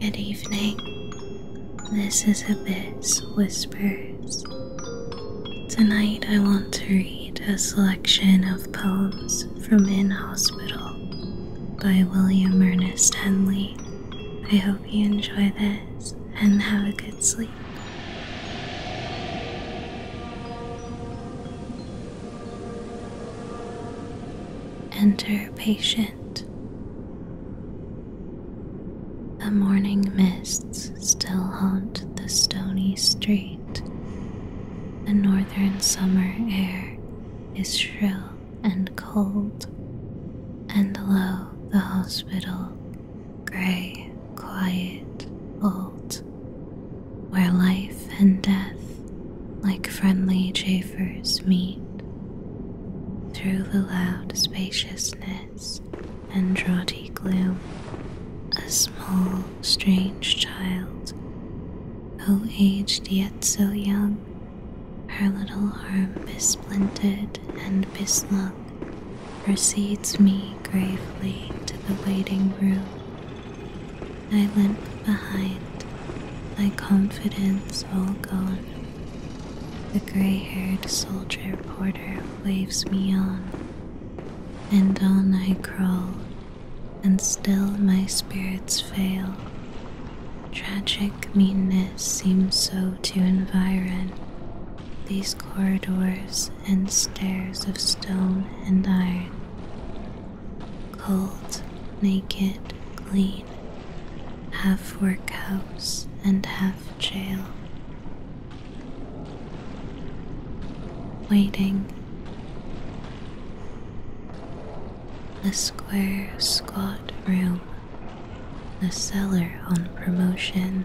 Good evening. This is Abyss Whispers. Tonight I want to read a selection of poems from In Hospital by William Ernest Henley. I hope you enjoy this and have a good sleep. Enter patient. The morning mists still haunt the stony street. The northern summer air is shrill and cold, and low the hospital grey, quiet vault where life and death, like friendly chafers, meet. Through the loud spaciousness and draughty gloom, a small, strange child, who aged yet so young, her little arm besplinted and beslung, precedes me gravely to the waiting room. I limp behind, my confidence all gone. The gray haired soldier porter waves me on, and on I crawl, and still my spirits fail. Tragic meanness seems so to environ these corridors and stairs of stone and iron. Cold, naked, clean, half workhouse and half jail. Waiting. The square, squat room, the cellar on promotion,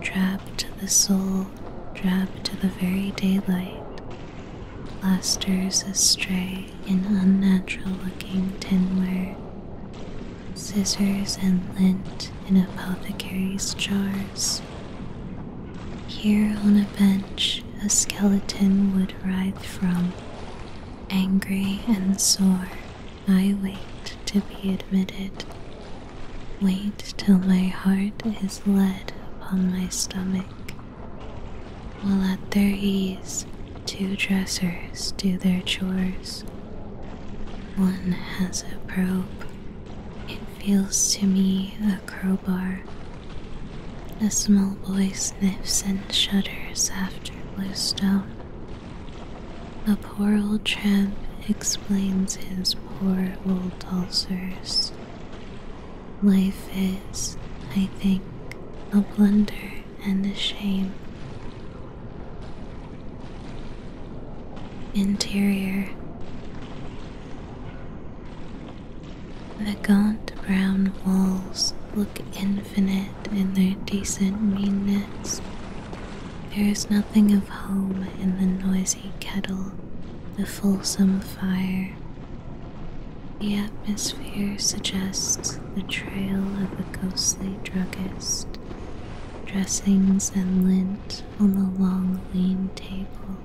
trapped the soul drab to the very daylight, plasters astray in unnatural looking tinware, scissors and lint in apothecaries' jars. Here on a bench, a skeleton would writhe from. Angry and sore, I wait to be admitted. Wait till my heart is lead upon my stomach, while at their ease two dressers do their chores. One has a probe, it feels to me a crowbar. A small boy sniffs and shudders after blue stone. The poor old tramp explains his poor old ulcers. Life is, I think, a blunder and a shame. Interior The gaunt brown walls look infinite in their decent meanness there is nothing of home in the noisy kettle, the fulsome fire. The atmosphere suggests the trail of a ghostly druggist, dressings and lint on the long, lean table.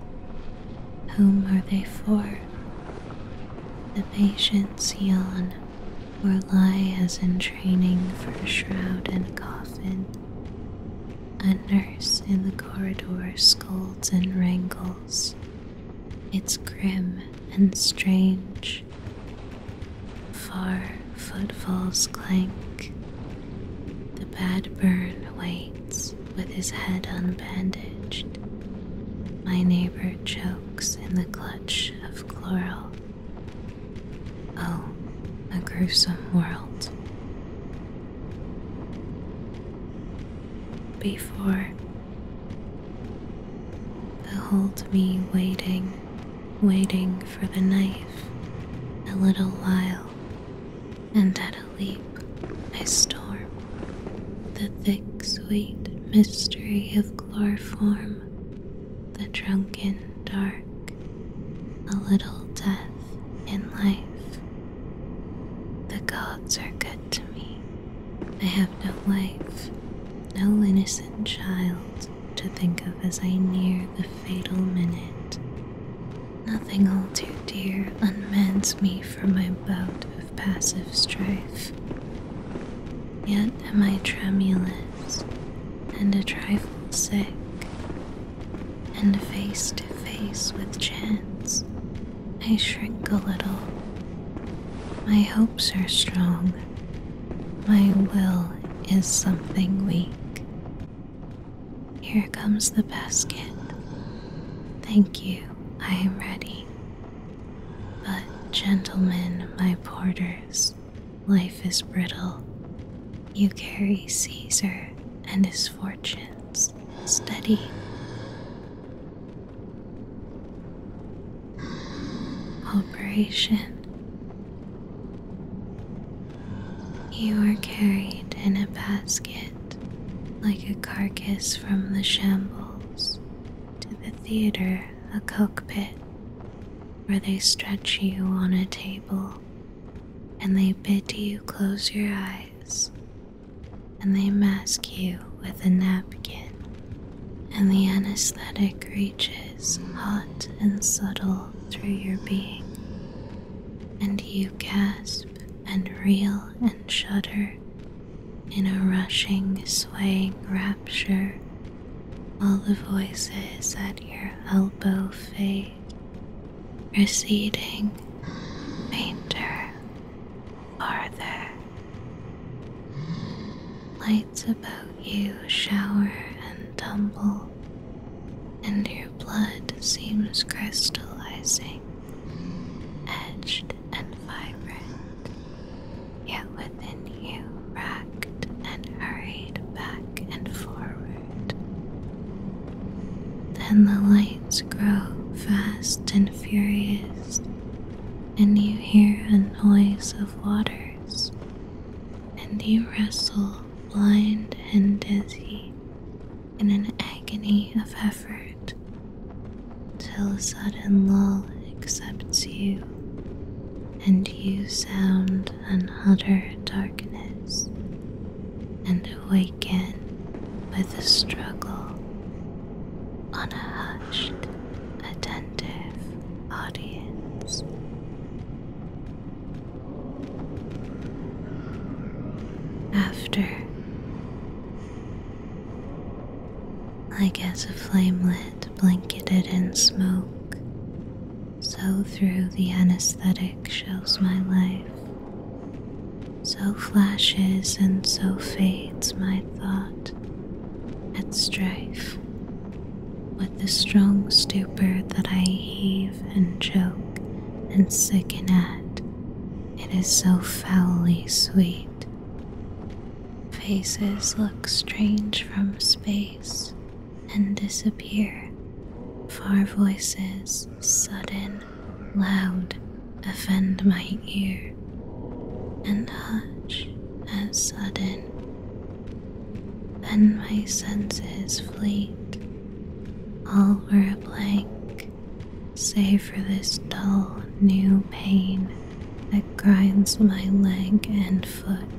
Whom are they for? The patients yawn or lie as in training for a shroud and coffin. A nurse in the corridor scolds and wrangles. It's grim and strange. Far footfalls clank. The bad burn waits with his head unbandaged. My neighbor chokes in the clutch of chloral. Oh, a gruesome world before. Behold me waiting, waiting for the knife a little while, and at a leap I storm the thick, sweet mystery of chloroform, the drunken dark, a little death in life. The gods are good to me. I have no wife, no innocent child to think of as I near the fatal minute. Nothing all too dear unmans me from my bout of passive strife. Yet am I tremulous and a trifle sick and face to face with chance, I shrink a little. My hopes are strong, my will is something weak. Here comes the basket. Thank you, I am ready. But, gentlemen, my porters, life is brittle. You carry Caesar and his misfortunes steady. Operation. You are carried in a basket like a carcass from the shambles to the theater, a cockpit, where they stretch you on a table and they bid you close your eyes, and they mask you with a napkin, and the anesthetic reaches hot and subtle through your being, and you gasp and reel and shudder in a rushing, swaying rapture. while the voices at your elbow fade receding fainter farther. Lights about you shower and tumble, and your blood seems crystallizing, edged and vibrant, yet within you racked and hurried back and forward. Then the lights grow fast and furious, and you hear a noise of waters, and you wrestle blind and dizzy in an agony of effort, till a sudden lull accepts you, and you sound an utter darkness and to waken with a struggle on a hushed, attentive audience. After, like as a flame lit, blanketed in smoke, so through the anesthetic shows my life. So flashes and so fades my thought at strife with the strong stupor that I heave and choke and sicken at. It is so foully sweet. Faces look strange from space and disappear. Far voices, sudden loud offend my ear, and hush as sudden. Then my senses fleet, all were a blank, save for this dull new pain that grinds my leg and foot.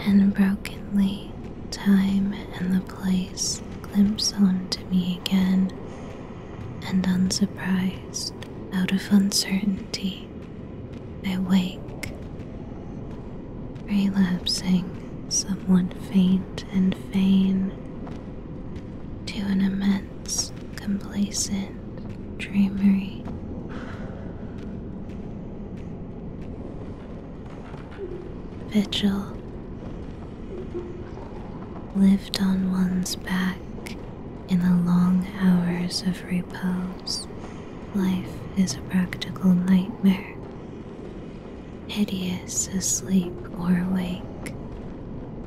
And brokenly, time and the place glimpse onto me again, and unsurprised, out of uncertainty, I wake, relapsing, somewhat faint and faint, to an immense, complacent dreamery vigil lived on one's back in the long hours of repose. Life is a practical nightmare, hideous asleep or awake.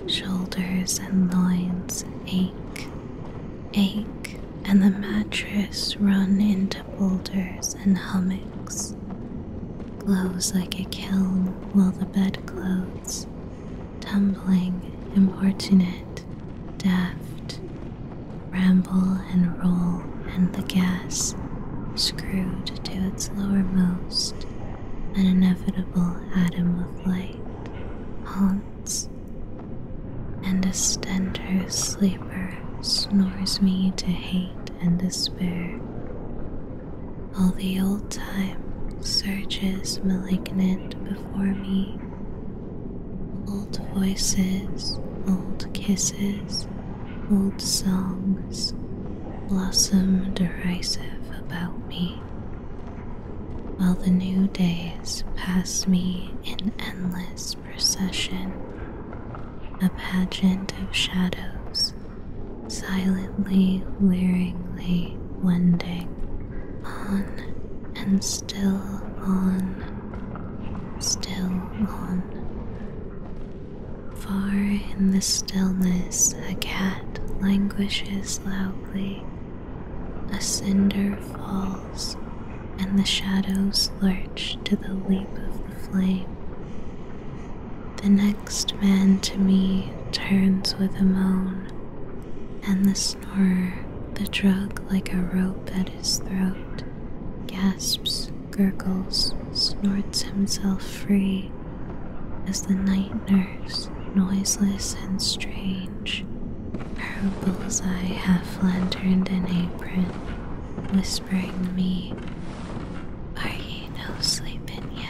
Shoulders and loins ache, ache, and the mattress run into boulders and hummocks, glows like a kiln while the bedclothes, tumbling, importunate, daft, ramble and roll, and the gas screwed to its lowermost, an inevitable atom of light, haunts. And a stentor's sleeper air snores me to hate and despair. while the old time surges malignant before me. Old voices, old kisses, old songs blossom derisive about me. While the new days pass me in endless procession, a pageant of shadows silently, leeringly wending on and still on, still on. Far in the stillness, a cat languishes loudly, a cinder falls, and the shadows lurch to the leap of the next man to me turns with a moan, and the snorer, the drug like a rope at his throat, gasps, gurgles, snorts himself free as the night nurse, noiseless and strange, her bullseye half lanterned and apron, whispering me, Are you? no sleep in yet.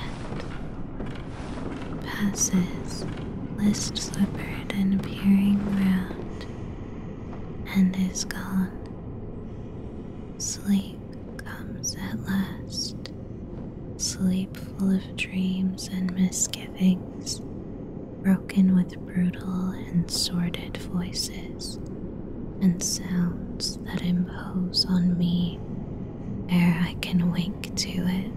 Passes, list slippered and peering round, and is gone. Sleep comes at last, sleep full of dreams and misgivings, broken with brutal and sordid voices and sounds that impose on me ere I can wake to it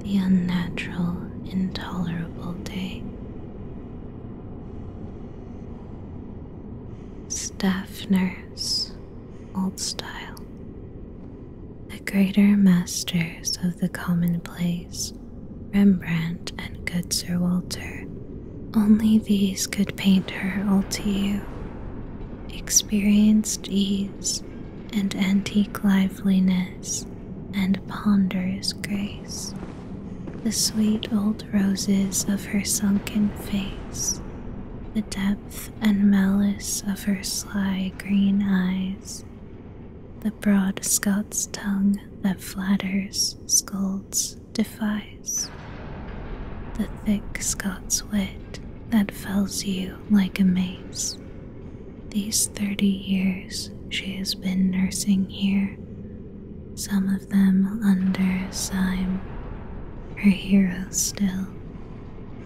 the unnatural, intolerable day. Staff nurse, old style. The greater masters of the commonplace, Rembrandt and good Sir Walter, only these could paint her all to you, experienced ease and antique liveliness and ponderous grace. The sweet old roses of her sunken face, the depth and malice of her sly green eyes, the broad Scots tongue that flatters, scolds, defies. The thick Scots wit that fells you like a mace. These thirty years she has been nursing here, some of them under Syme, her hero still.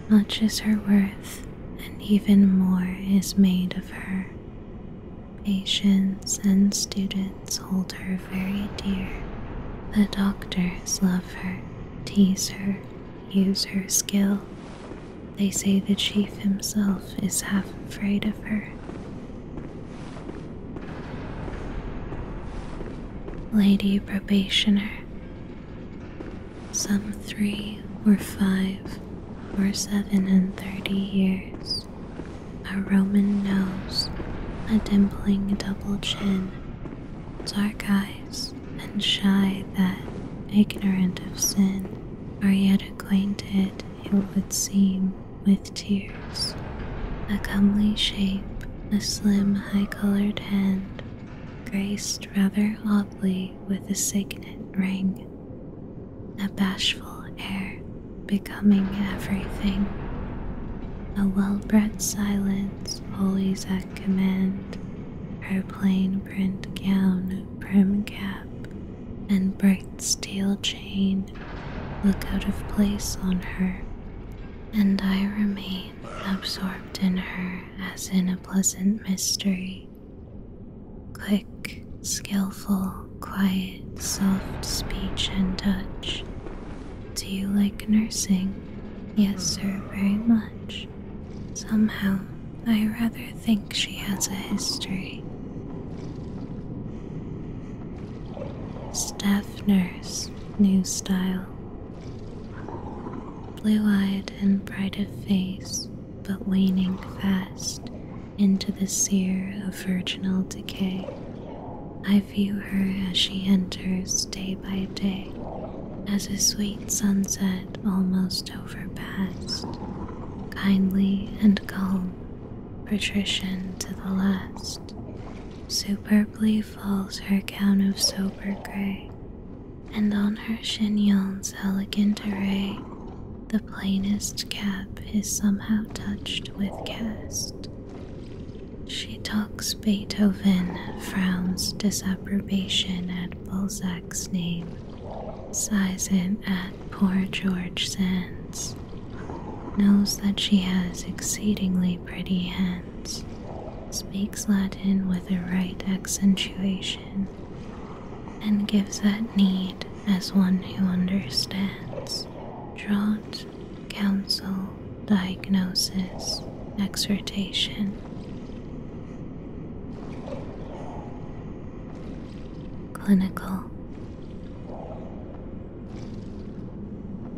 Much is her worth, and even more is made of her. Patience and student friends hold her very dear. The doctors love her, tease her, use her skill. They say the chief himself is half afraid of her. Lady Probationer. Some three or five or seven and thirty years. A Roman nose, a dimpling double chin, Dark eyes and shy that, ignorant of sin, are yet acquainted, it would seem, with tears. A comely shape, a slim, high colored hand, graced rather oddly with a signet ring. A bashful air, becoming everything. A well bred silence hands always at command, her plain print gown, prim cap, and bright steel chain look out of place on her, and I remain absorbed in her as in a pleasant mystery. Quick, skillful, quiet, soft speech and touch do you like nursing? Yes, sir, very much. Somehow, I rather think she has a history. Staff nurse, new style. Blue eyed and bright of face, but waning fast into the sear of virginal decay. I view her as she enters day by day, as a sweet sunset almost overpast, kindly and calm, patrician to the last, superbly falls her gown of sober grey, and on her chignon's elegant array, the plainest cap is somehow touched with cast. She talks Beethoven, frowns disapprobation at Balzac's name, sighs it at poor George Sands, knows that she has exceedingly pretty hands, speaks Latin with a right accentuation, and gives that need as one who understands, drawn counsel, diagnosis, exhortation. Clinical.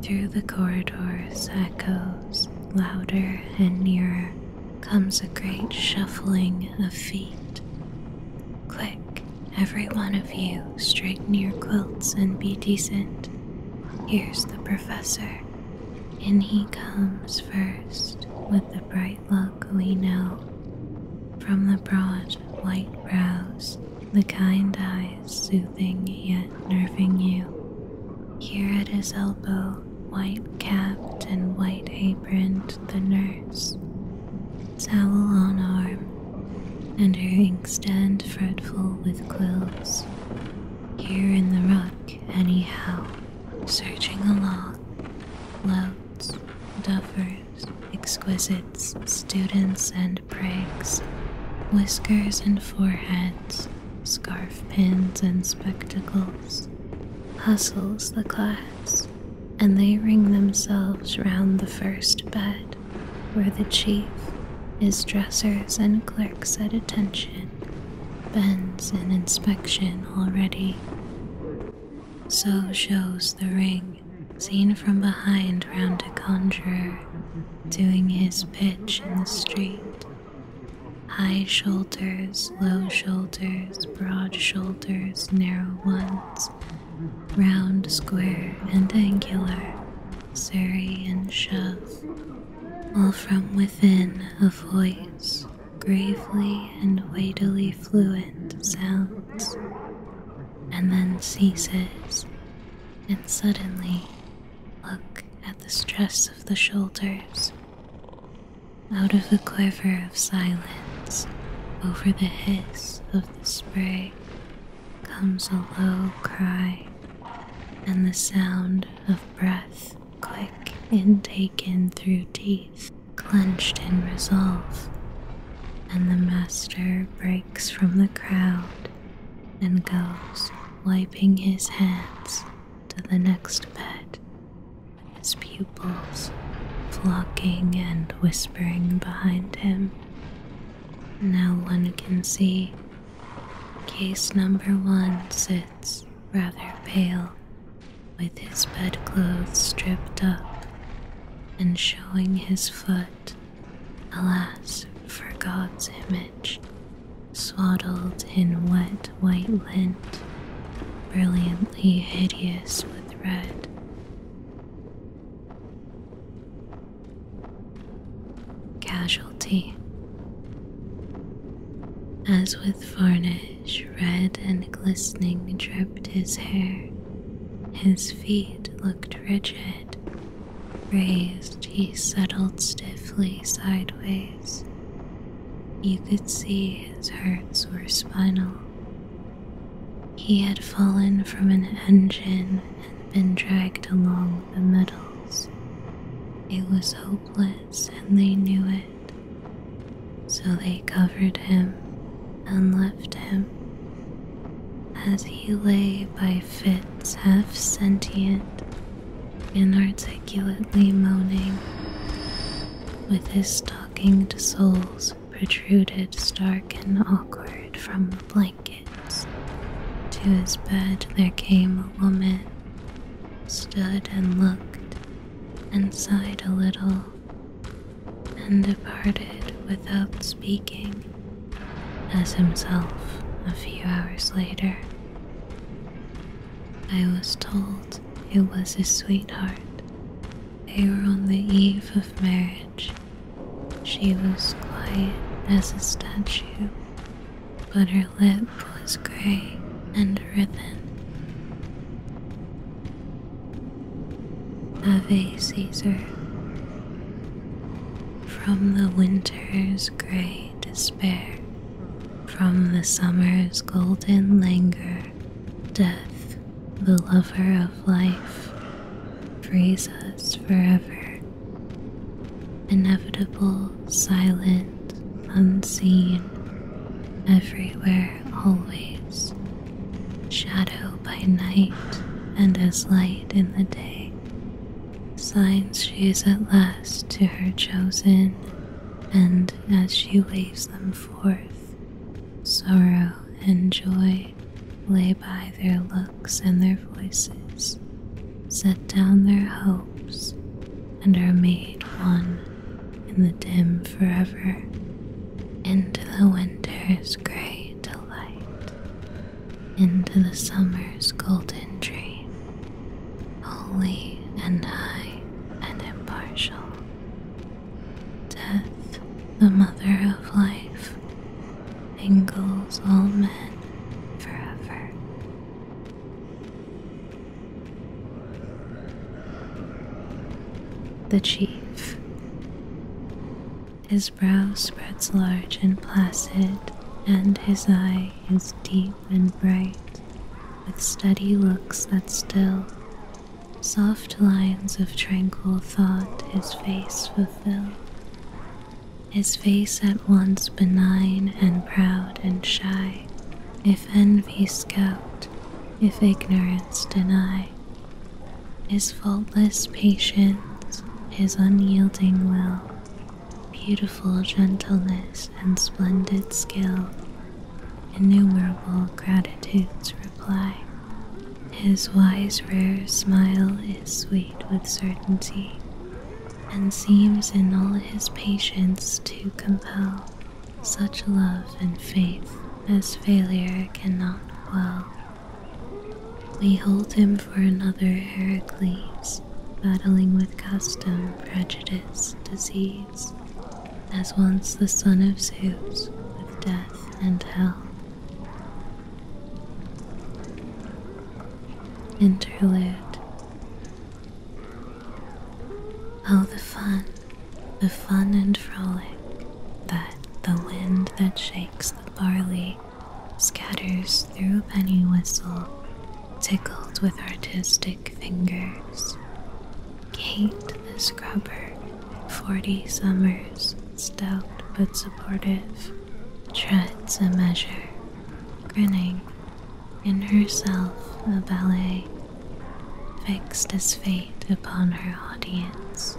Through the corridors echoes louder and nearer comes a great shuffling of feet. Quick, every one of you, straighten your quilts and be decent. Here's the professor and he comes first with the bright look we know from the broad white brows, the kind eyes soothing yet nerving you. Here at his elbow, white capped and white aproned, the nurse, towel on arm, and her inkstand fretful with quills. Here in the ruck, anyhow, searching along, louts, duffers, exquisites, students and prigs, whiskers and foreheads, scarf pins and spectacles, hustles the class, and they ring themselves round the first bed, where the chief, is dressers and clerks at attention, bends in inspection already. So shows the ring seen from behind round a conjurer doing his pitch in the street. High shoulders, low shoulders, broad shoulders, narrow ones, round, square, and angular, surrey and shove while from within a voice gravely and weightily fluent sounds, and then ceases, and suddenly look at the stress of the shoulders. Out of the quiver of silence, over the hiss of the spray, comes a low cry and the sound of breath quick and taken through teeth clenched in resolve. And the master breaks from the crowd and goes, wiping his hands, to the next bed, his pupils flocking and whispering behind him. Now one can see Case number one sits rather pale, with his bedclothes stripped up and showing his foot, alas for God's image, swaddled in wet white lint, brilliantly hideous with red. Casualty. As with varnish, red and glistening dripped his hair. His feet looked rigid. Raised, he settled stiffly sideways. You could see his hurts were spinal. He had fallen from an engine and been dragged along the metals. It was hope and they knew it. So they covered him and left him. As he lay by fits half sentient, inarticulately moaning, with his stockinged soles protruded stark and awkward from the blankets. To his bed there came a woman stood and looked and sighed a little, and departed without speaking, as himself a few hours later. I was told it was his sweetheart. They were on the eve of marriage. She was quiet as a statue but her lip was grey and riven. Ave Caesar. From the winter's grey despair, from the summer's golden languor, death, the lover of life, frees us forever inevitable, silent, unseen, everywhere, always, shadow by night and as light in the day, signs she is at last to her chosen, and as she waves them forth, sorrow and joy lay by their looks and their voices set down their hopes and are made one in the dim forever into the winter's grey delight, into the summer's golden dream, holy and high and impartial. Death, the mother of life, engulfs all men forever the chief. His brow spreads large and placid, and his eye is deep and bright, with steady looks that still, soft lines of tranquil thought his face fulfill. His face at once benign and proud and shy, if envy scout, if ignorance deny, his faultless patience, his unyielding will, beautiful gentleness and splendid skill, innumerable gratitude's reply. His wise, rare smile is sweet with certainty, and seems in all his patience to compel such love and faith as failure cannot well. We hold him for another Heracles, battling with custom, prejudice, disease, as once the son of Zeus with death and hell. Interlude Oh, the fun, the fun and frolic that the wind that shakes the barley scatters through penny whistle, tickled with artistic fingers. Kate the scrubber, forty summers, stout but supportive, treads a measure, grinning in herself a ballet, fixed as fate upon her audience.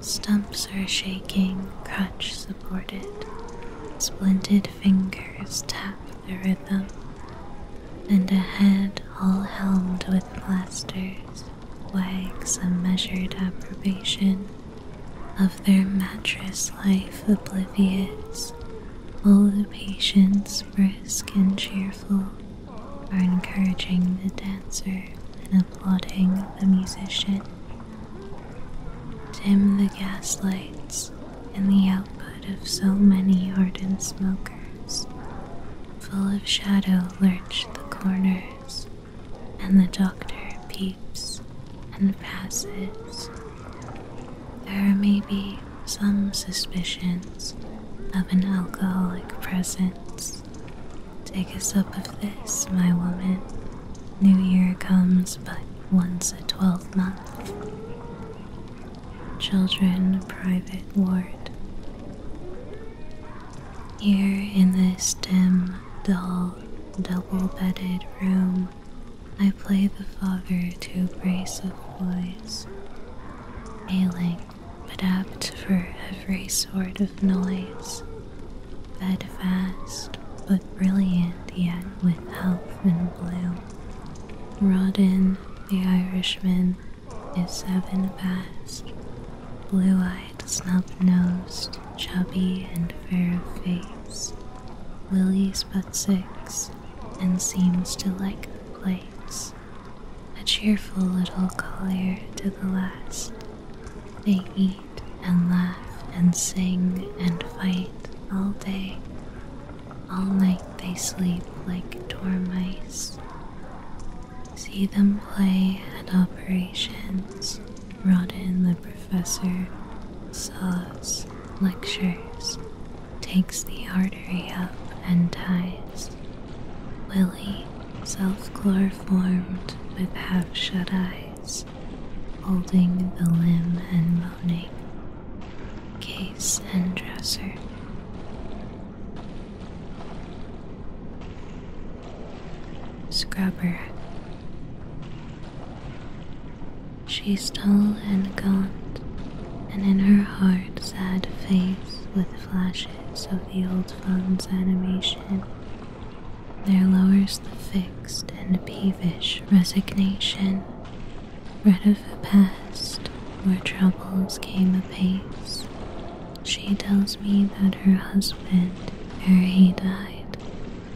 Stumps are shaking, crutch supported, splinted fingers tap the rhythm, and a head all helmed with plasters wags a measured approbation of their mattress life oblivious all the patients, brisk and cheerful, are encouraging the dancer and applauding the musician. Dim the gas lights and the output of so many ardent smokers, full of shadow, lurch the corners, and the doctor peeps and passes there may be some suspicions of an alcoholic presence. Take a sup of this, my woman. New Year comes but once a twelvemonth. Children, private ward. Here in this dim, dull, double bedded room, I play the father to a brace of boys, ailing but apt for every sort of noise, fed fast but brilliant yet with health and bloom. Rawdon, the Irishman, is seven past, blue-eyed, snub-nosed, chubby and fair of face. Lily's but six, and seems to like the place. A cheerful little collier to the last. They eat and laugh and sing and fight all day. All night they sleep like dormice. See them play at operations, rot in the professor, saws, lectures, takes the artery up and ties. Willie, self chloroformed with half shut eyes, holding the limb and moaning. Case and dresser. Scrubber. She's dull and gaunt, and in her hard, sad face, with flashes of the old fun's animation, there lowers the fixed and peevish resignation, red of the past where troubles came apace. She tells me that her husband, ere he died,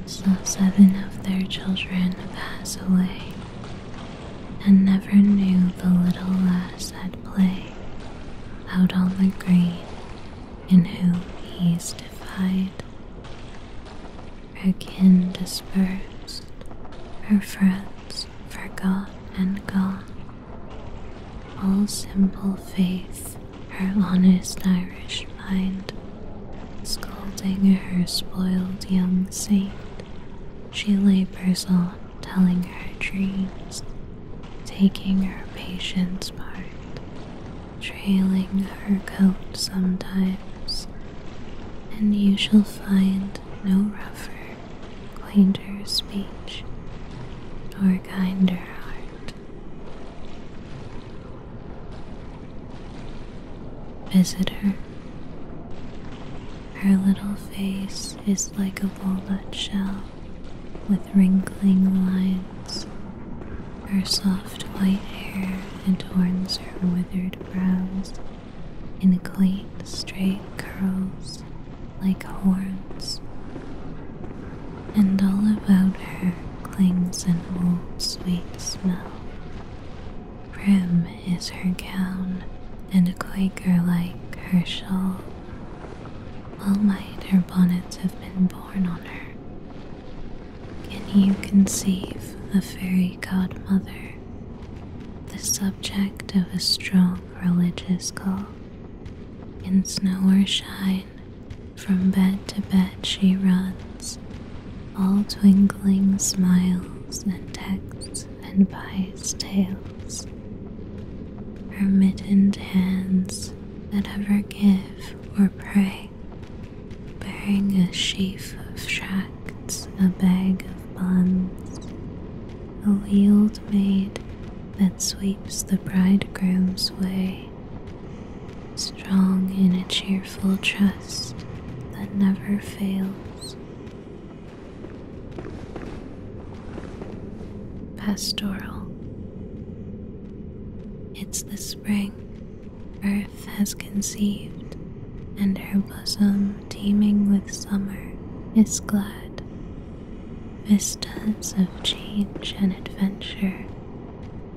saw seven of their children pass away and never knew the little lass at play out on the green in whom he's defied. Her kin dispersed, her friends forgot and gone. All simple faith, her honest Irish mind, scolding her spoiled young saint she labors on, telling her dreams, taking her patient's part, trailing her coat sometimes, and you shall find no rougher, quainter speech, or kinder heart. Visitor her little face is like a walnut shell with wrinkling lines. Her soft white hair adorns her withered brows in quaint straight curls like horns. And all about her clings an old sweet smell Prim is her gown, and a Quaker like her shawl. Well might her bonnets have been borne on her. Can you conceive the fairy godmother, the subject of a strong religious call? In snow or shine, from bed to bed she runs, all twinkling smiles and texts and pie's tales. Her mittened hands that ever give or pray, bearing a sheaf of shacks, a bag of buns, a wheeled maid that sweeps the bridegroom's way, strong in a cheerful trust that never fails, pastoral. It's the spring earth has conceived, and her bosom teeming with summer is glad. Vistas of change and adventure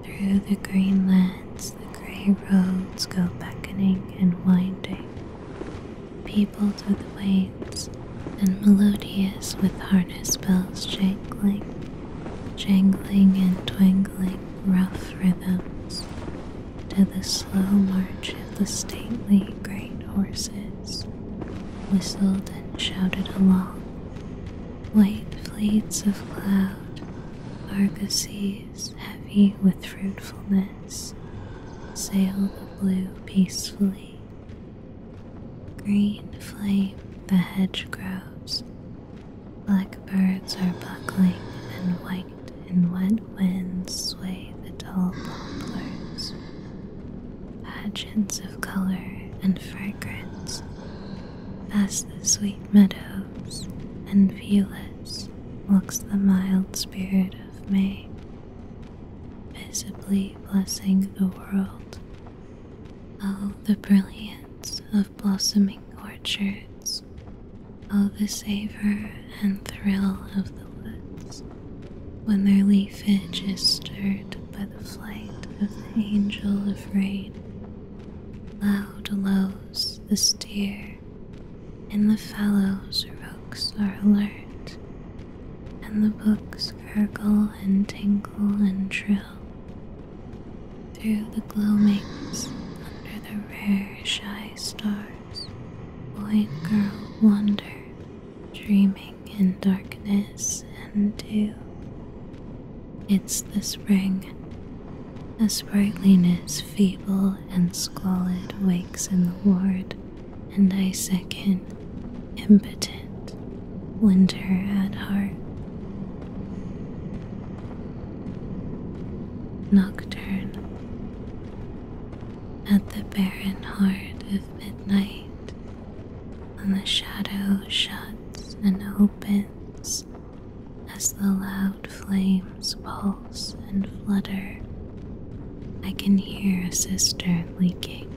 through the green lands, the gray roads go beckoning and winding peopled with waves and melodious with harness bells jangling, jangling and twangling rough rhythms to the slow march of the stately great horses, whistled and shouted along. White fleets of cloud, argosies heavy with fruitfulness sail the blue peacefully. Green flame the hedgerows. Blackbirds are buckling, and white and wet winds sway the tall poplars. Pageants of color and fragrance past the sweet meadows and viewless looks the mild spirit of May, visibly blessing the world. Oh, the brilliance of blossoming orchards! Oh, the savor and thrill of the woods, when their leafage is stirred by the flight of the angel of rain. Loud lows the steer in the fallows rooks are alert, and the books gurgle and tinkle and trill. Through the gloamings, under the rare shy stars, boy and girl wander, dreaming in darkness and dew. It's the spring, a sprightliness feeble and squalid wakes in the ward, and I second, impotent, winter at heart. Nocturne. At the barren heart of midnight, when the shadow shuts and opens as the loud flames pulse and flutter. I can hear a sister leaking,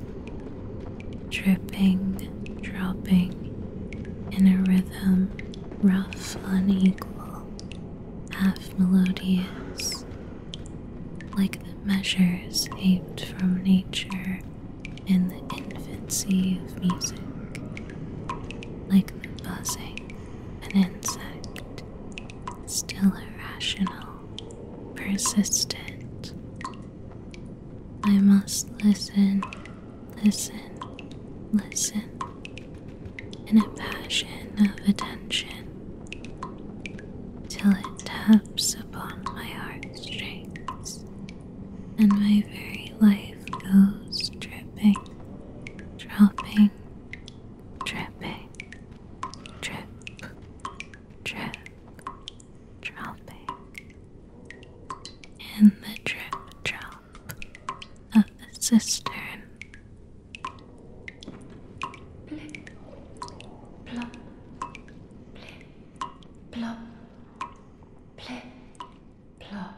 dripping, dropping in a rhythm rough, unequal, half melodious, like the measures aped from nature in the infancy of music, like the buzzing an insect still irrational, persistent. I must listen, listen, listen in a passion of attention till it taps upon my heartstrings and my very life goes dripping, dropping, dripping, Drip, drip, dropping in the drip drop of the cistern. Blip, plop, blip, plop, blip, plop.